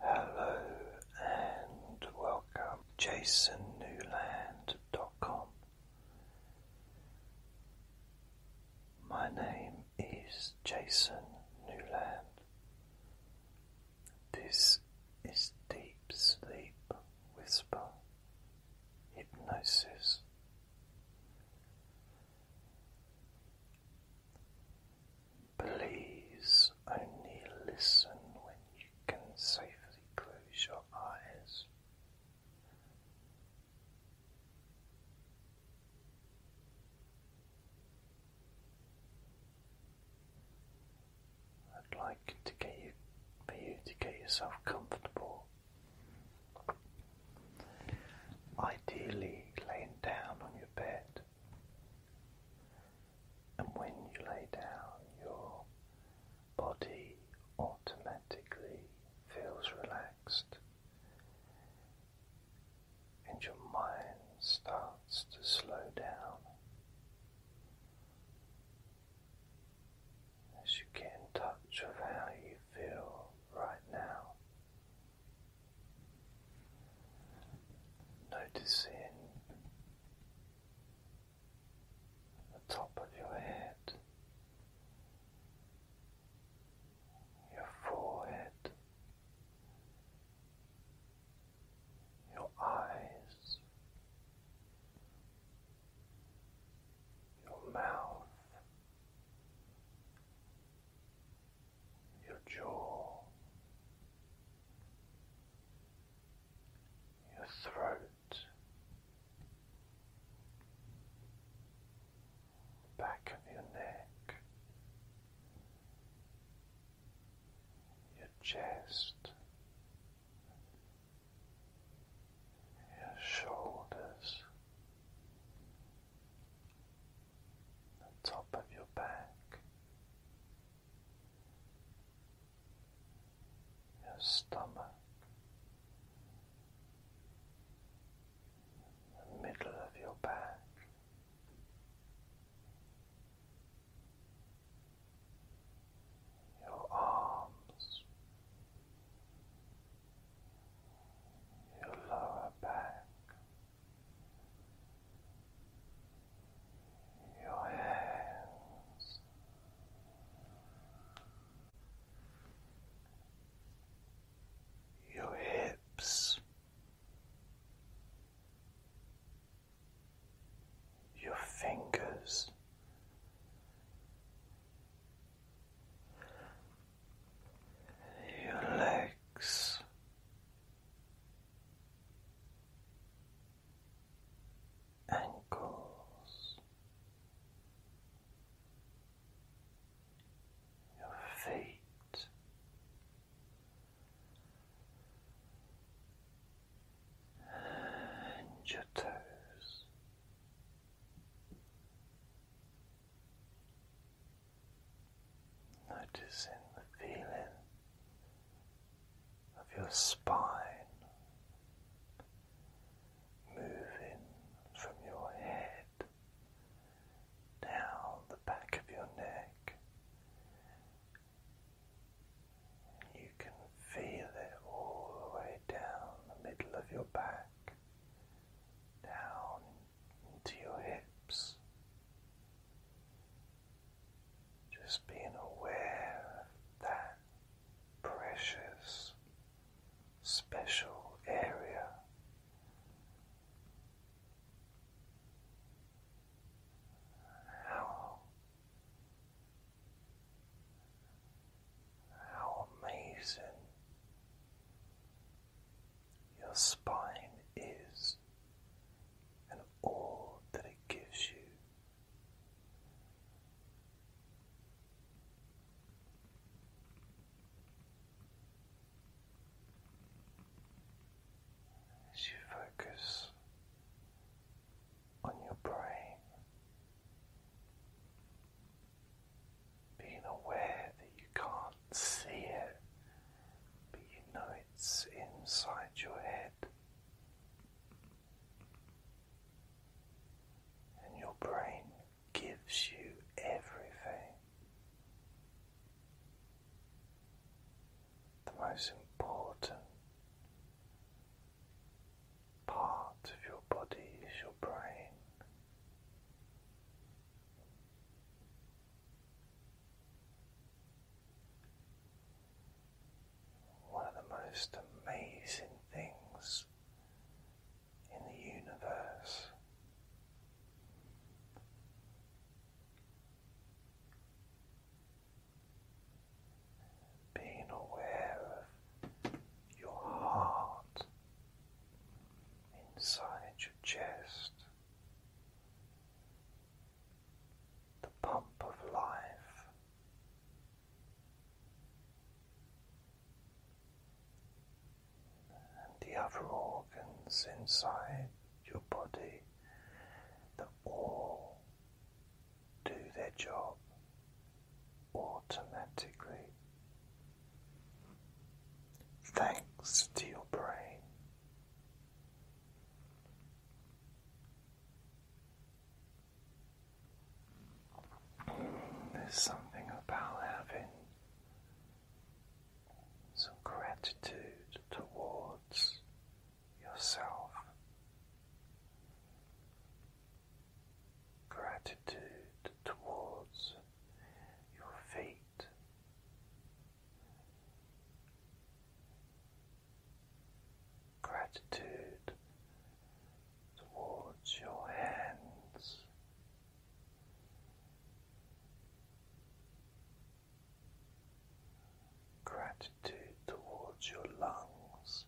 Hello and welcome Jason jasonnewland.com. My name is Jason Newland. This is Deep Sleep Whisper Hypnosis. Please only listen when you can safely close your eyes. I'd like to get you for you to get yourself comfortable. Ideally laying down on your bed and when you lay down, your body automatically feels relaxed, and your mind starts to slow down as you get in touch with how you feel right now. Noticing the top of your head, your forehead, your eyes, your mouth your jaw, your throat, back of your neck, your chest. Your shoulders, the top of your back, your stomach, the middle of your back. Your arms, your lower back, your hands. Your hips, your fingers, your legs, ankles, your feet. And your toes, noticing the feeling of your spine moving from your head down the back of your neck. You can feel it all the way down the middle of your back, down into your hips. Just being aware of that precious, special area. How, how amazing your spine is and all that it gives you. As you focus on your brain, being aware that you can't see it but you know it's inside your head, and your brain gives you everything. The most important part of your body is your brain. One of the most amazing things in the universe. Being aware of your heart inside your chest, the pump of life. And the other organs inside your body that all do their job automatically, thanks to your brain there's something about having some gratitude towards yourself, gratitude towards your feet, gratitude towards your hands. Gratitude towards your lungs,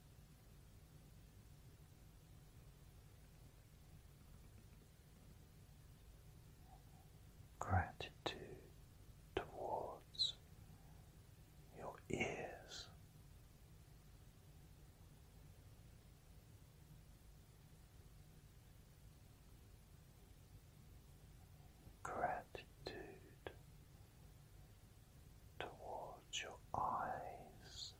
gratitude towards your ears. Gratitude towards your eyes,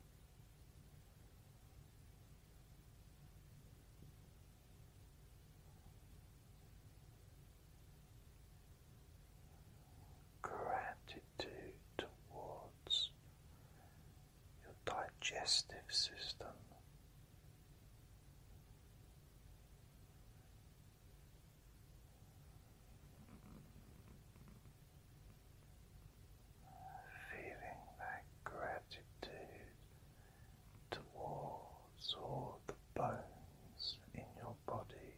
gratitude towards your digestive system. Feeling that gratitude towards muscles the bones in your body.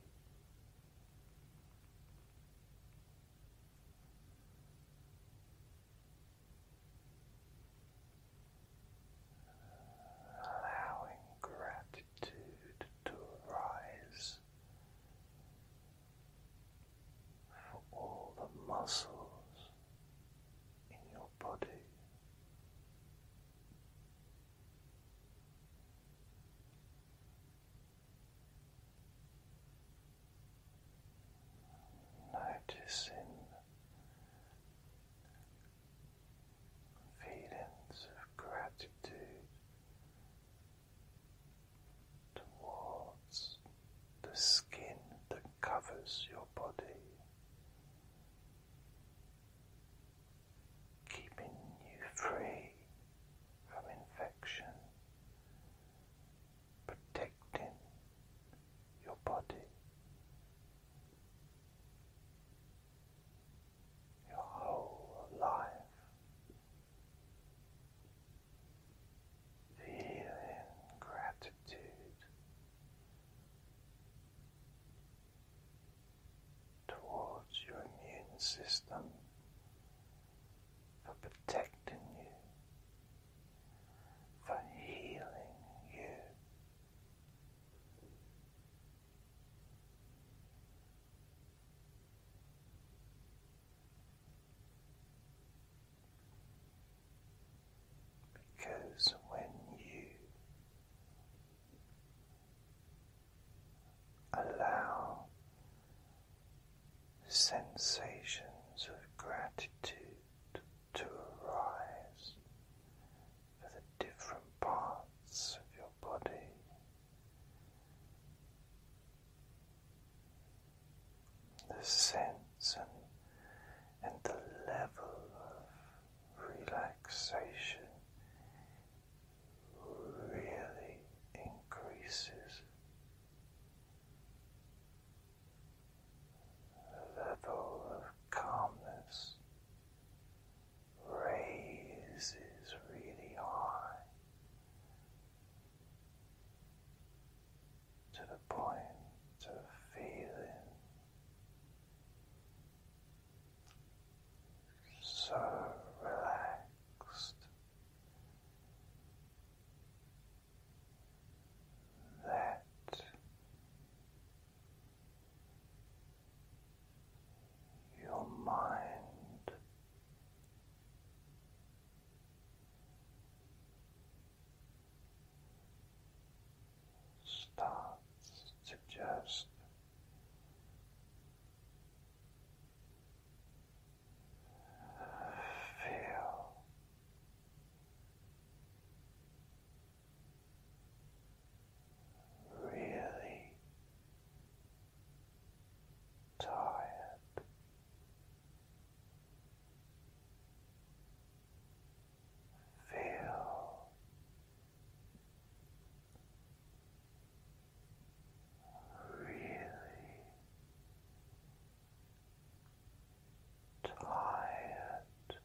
Allowing gratitude to arise for all the muscles in your body. Noticing feelings of gratitude towards the skin that covers your body keeping you free from infection, protecting your body, your whole life. Feeling gratitude towards your immune system for protecting you, for healing you. Because when you Allow sensations of gratitude to arise for the different parts of your body. The sense and, and the level of relaxation really increases the level of calmness raises really high to the point of feeling so relaxed. That your mind starts to just Feel really tired. Feel really tired.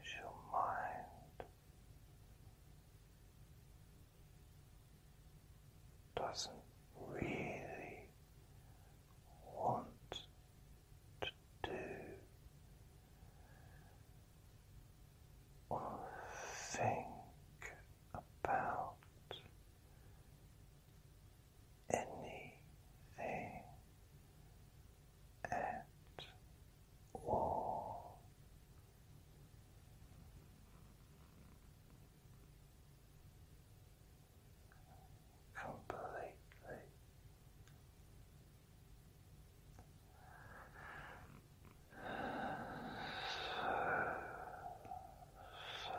As your mind doesn't really want to do think about anything at all completely. So, so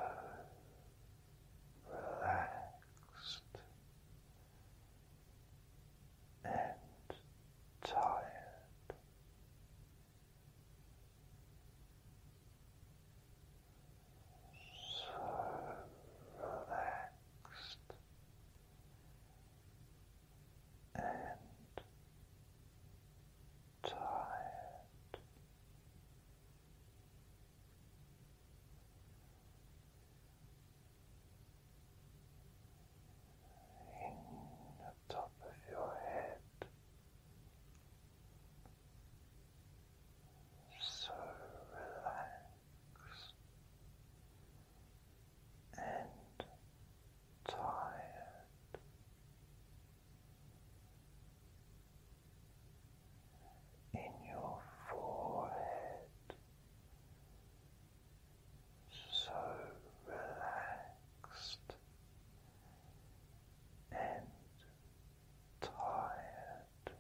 relaxed and tired so relaxed and tired. In the top of your head, so relaxed and tired. In your forehead, so relaxed and tired.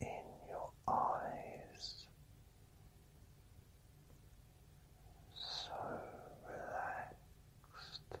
In your eyes, so relaxed and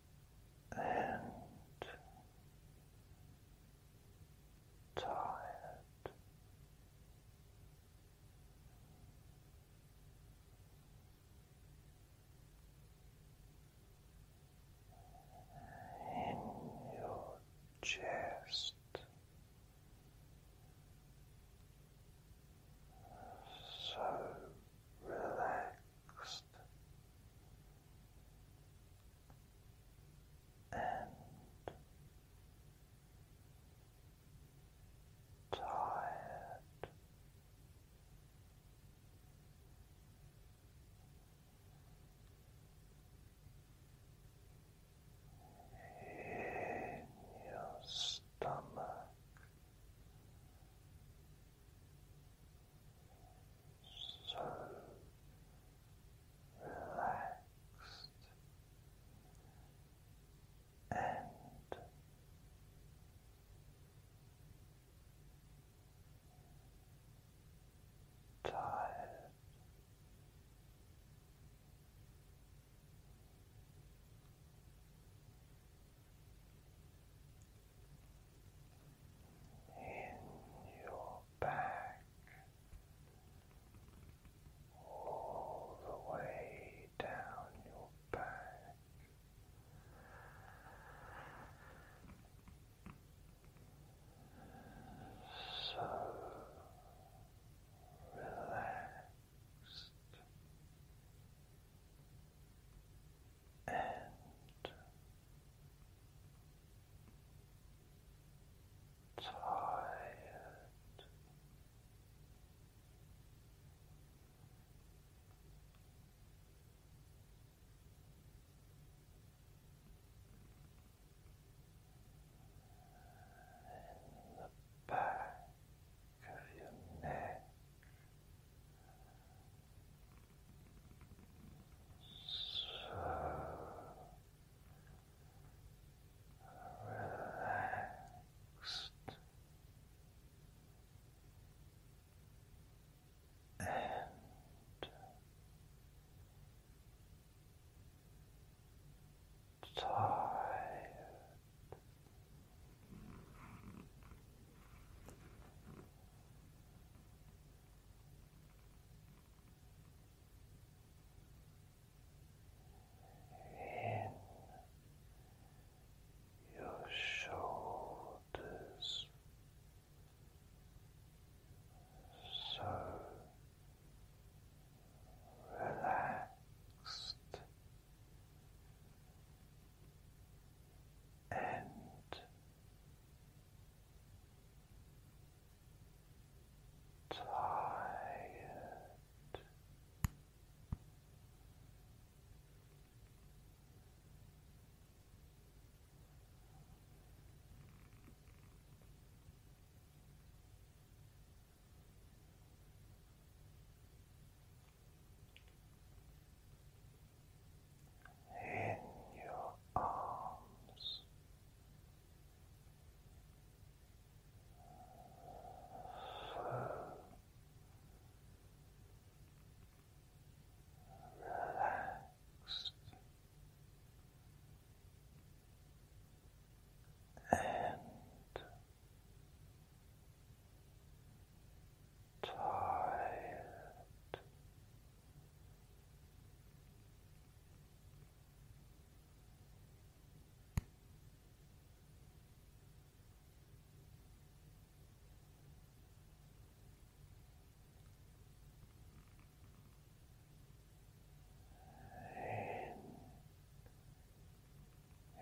and tired. In your chest, so relaxed, and tired. In your stomach, so relaxed and tired in your back, all the way down your back. So relaxed and tired. In the back of your neck, relaxed and tired in your shoulders so relaxed and tired in your arms. relaxed and tired. In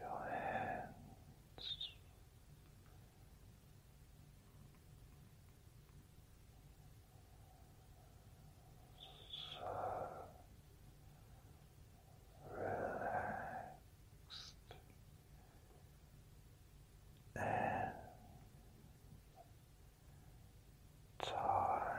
your hands. So relaxed and tired.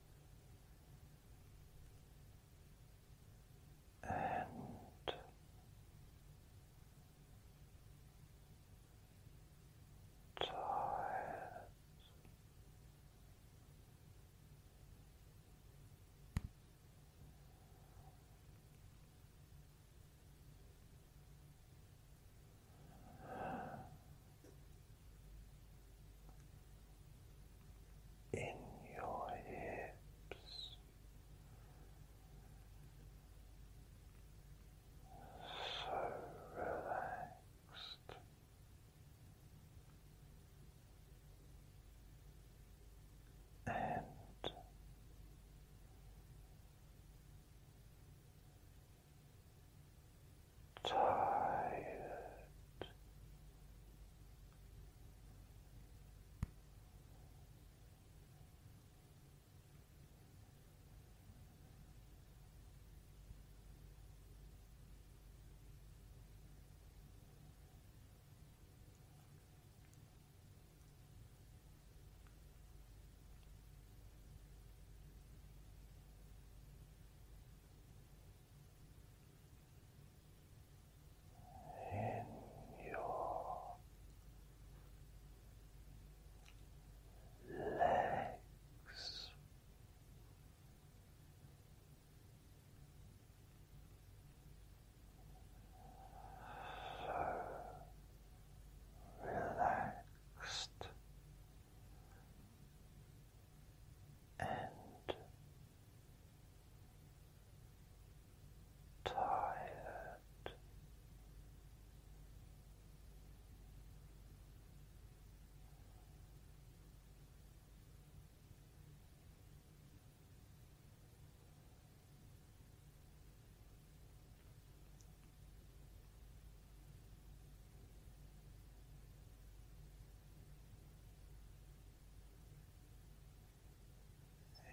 and tired in your hips. So relaxed. And tired, in your legs. So relaxed and tired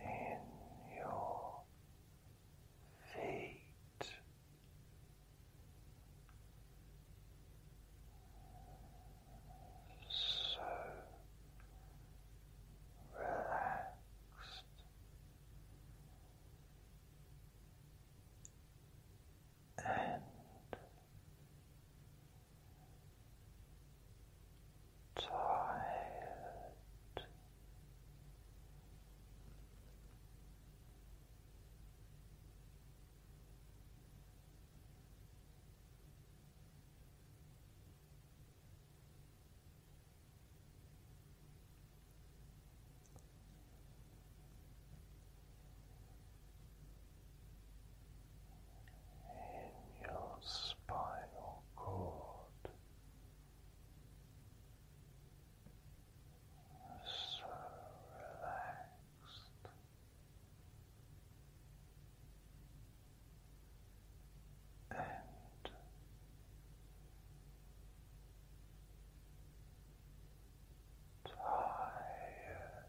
in your feet. So relaxed, and tired in your spinal cord so relaxed. And tired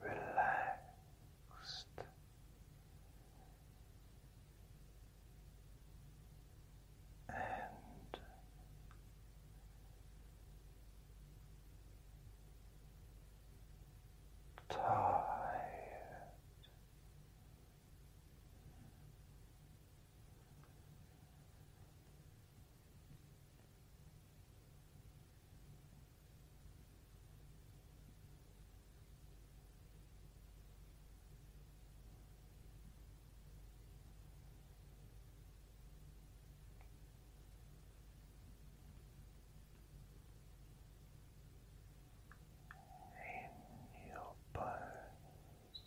relaxed. And tired, in your bones.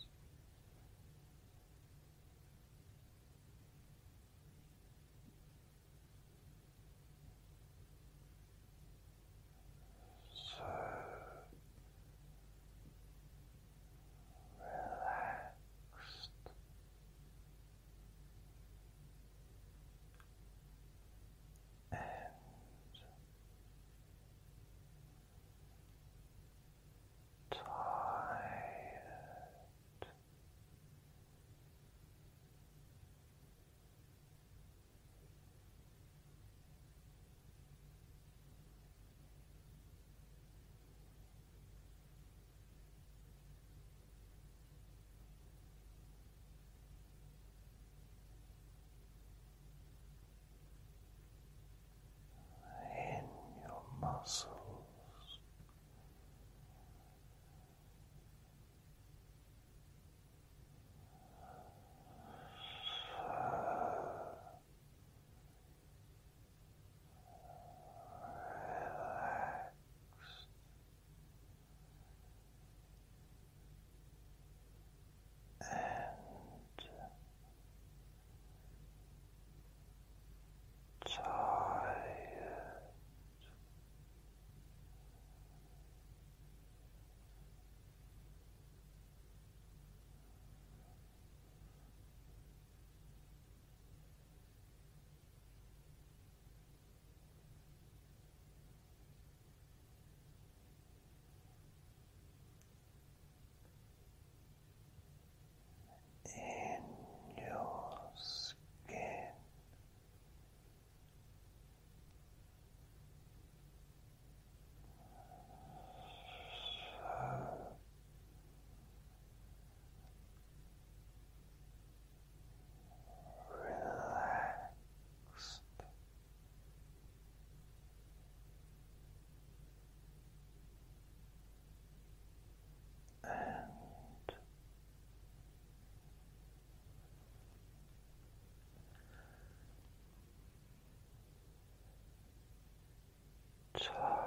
So relaxed. And tired in your muscles Tired in your skin relax And tired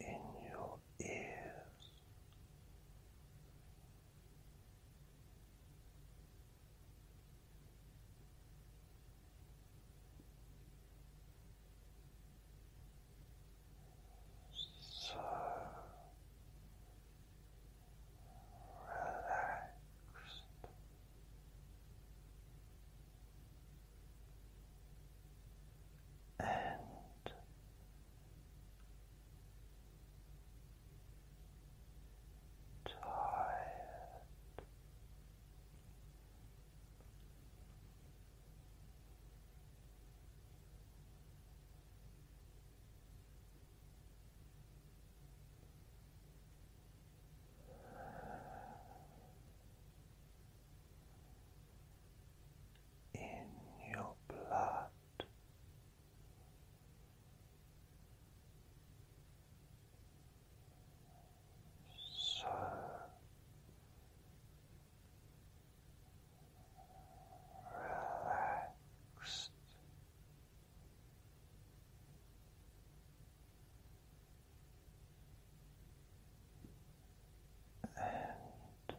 in your ears. So relaxed and tired in your blood. So relaxed. And tired.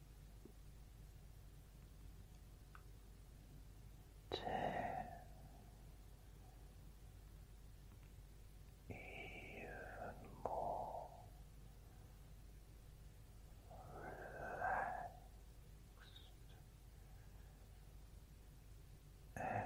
ten, even more relaxed and tired.